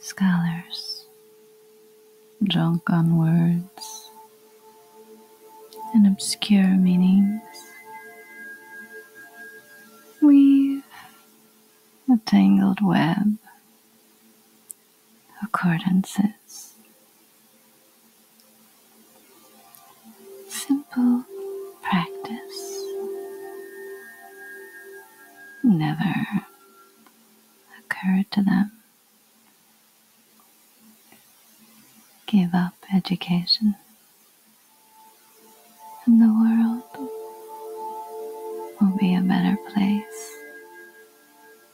Scholars, drunk on words and obscure meanings, weave a tangled web accordances. Simple practice. Never occurred to them. Give up education and the world will be a better place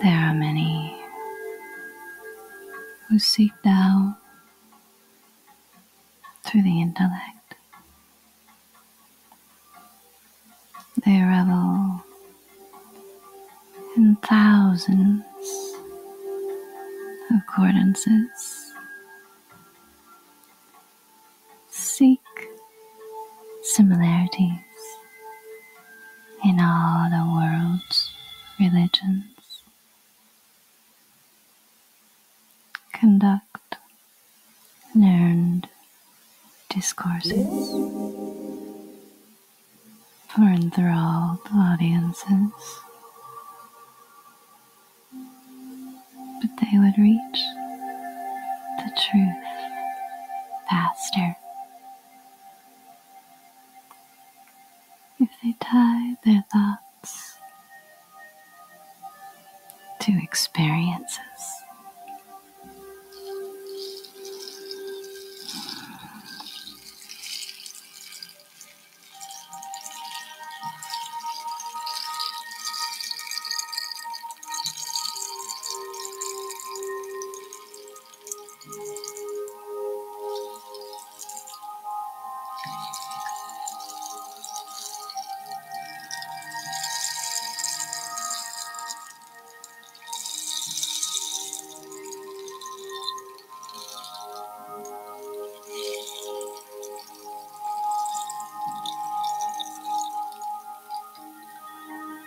There are many who seek thou through the intellect. They revel in thousands of cordances, Seek similarities in all the world's religions conduct learned discourses for enthralled audiences, but they would reach the truth faster if they tie their thoughts to experiences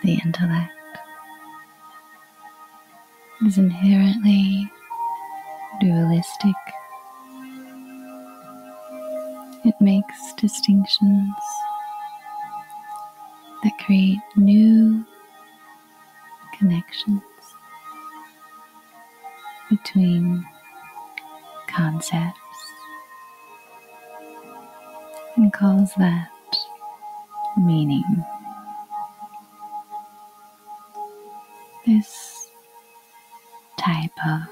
the intellect is inherently dualistic. It makes distinctions that create new connections between concepts and calls that meaning. This type of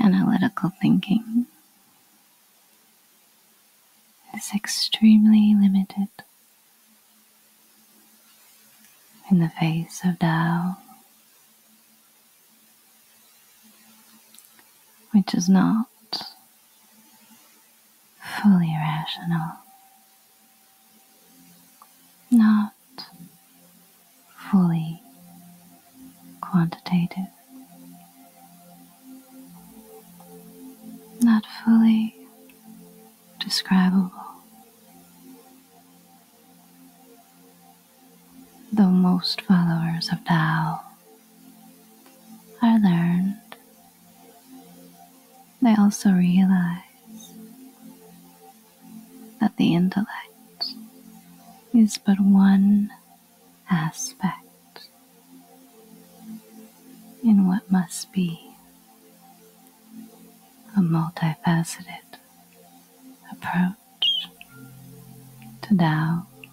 analytical thinking is extremely limited in the face of Tao, which is not fully rational, not fully quantitative, not fully describable. Though most followers of Tao are learned I also realize that the intellect is but one aspect in what must be a multifaceted approach to Tao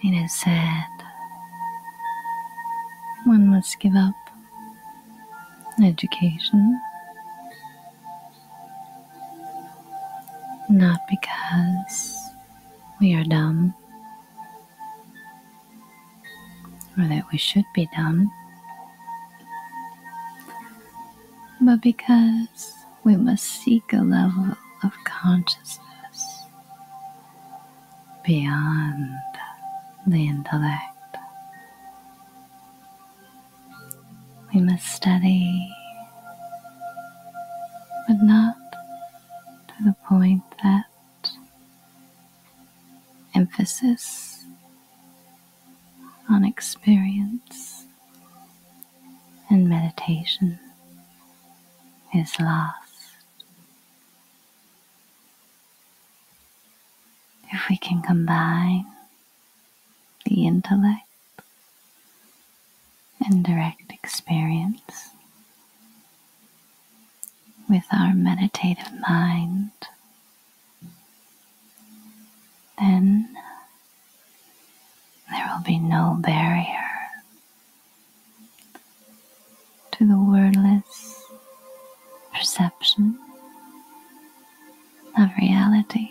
It is said one must give up education not because we are dumb, or that we should be dumb, but because we must seek a level of consciousness beyond the intellect. We must study, but not to the point that emphasis on experience and meditation is lost. If we can combine the intellect and direct experience, with our meditative mind. Then there will be no barrier to the wordless perception of reality.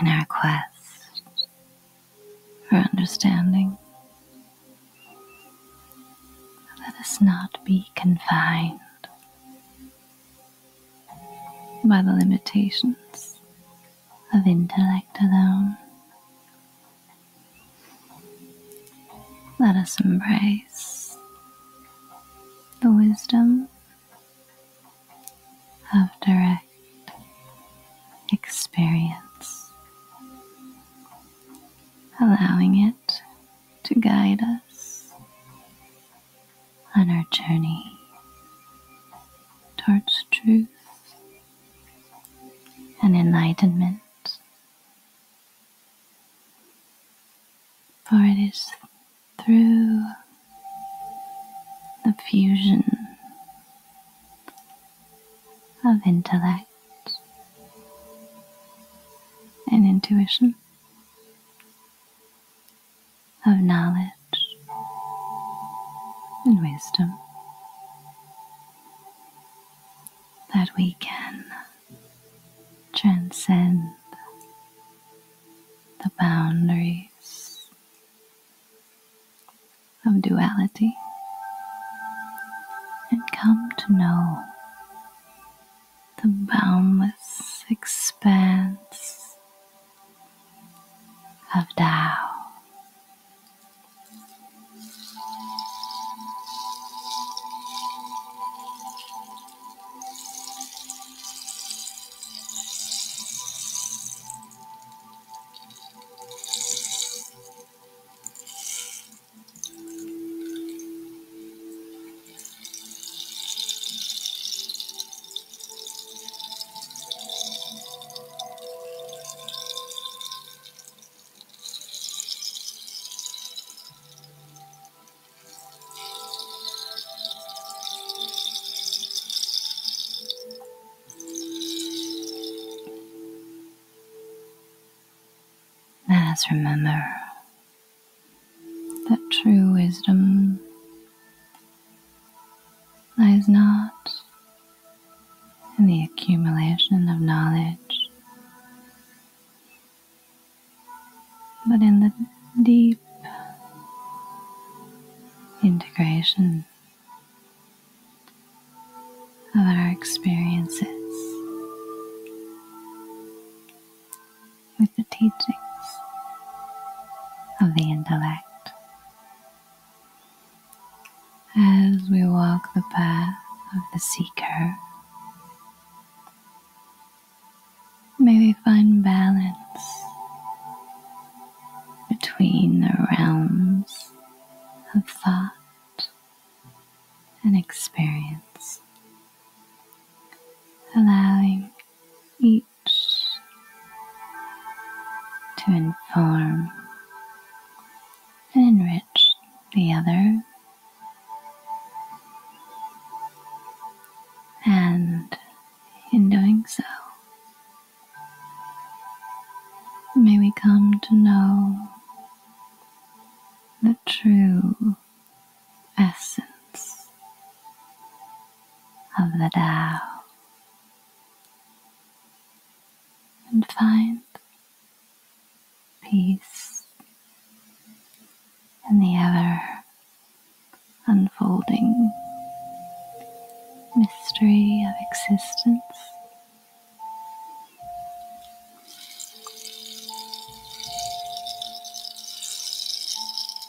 in our quest for understanding. Let us not be confined by the limitations of intellect alone. Let us embrace the wisdom of direct experience, allowing it to guide us on our journey towards truth an enlightenment. For it is through the fusion of intellect and intuition of knowledge and wisdom that we can transcend the boundaries of duality and come to know the boundless expanse of Tao. Let us remember that true wisdom lies not in the accumulation of knowledge, but in the deep integration of our experiences with the teachings of the intellect. As we walk the path of the seeker, may we find balance between the realms of thought and experience, allowing each to inform and enrich the other. And in doing so, may we come to know the true essence of the Tao and find peace in the ever unfolding mystery of existence.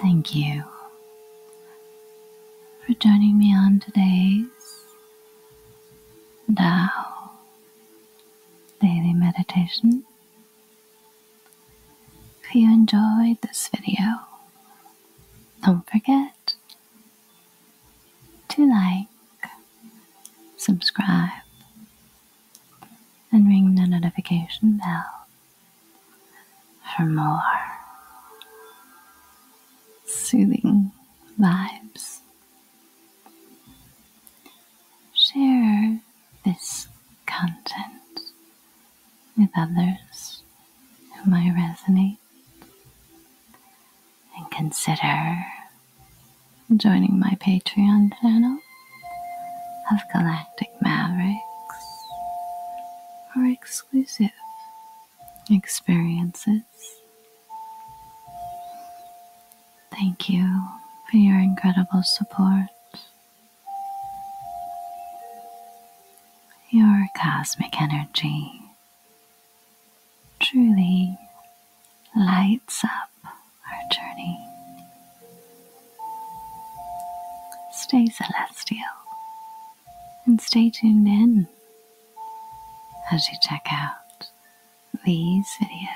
Thank you for joining me on today's Tao Daily Meditation. If you enjoyed this video, don't forget to like, subscribe, and ring the notification bell for more soothing vibes. Share this content with others who might resonate. And consider joining my Patreon channel of Galactic Mavericks for exclusive experiences. Thank you for your incredible support your cosmic energy truly lights up our journey. Stay celestial and stay tuned in as you check out these videos.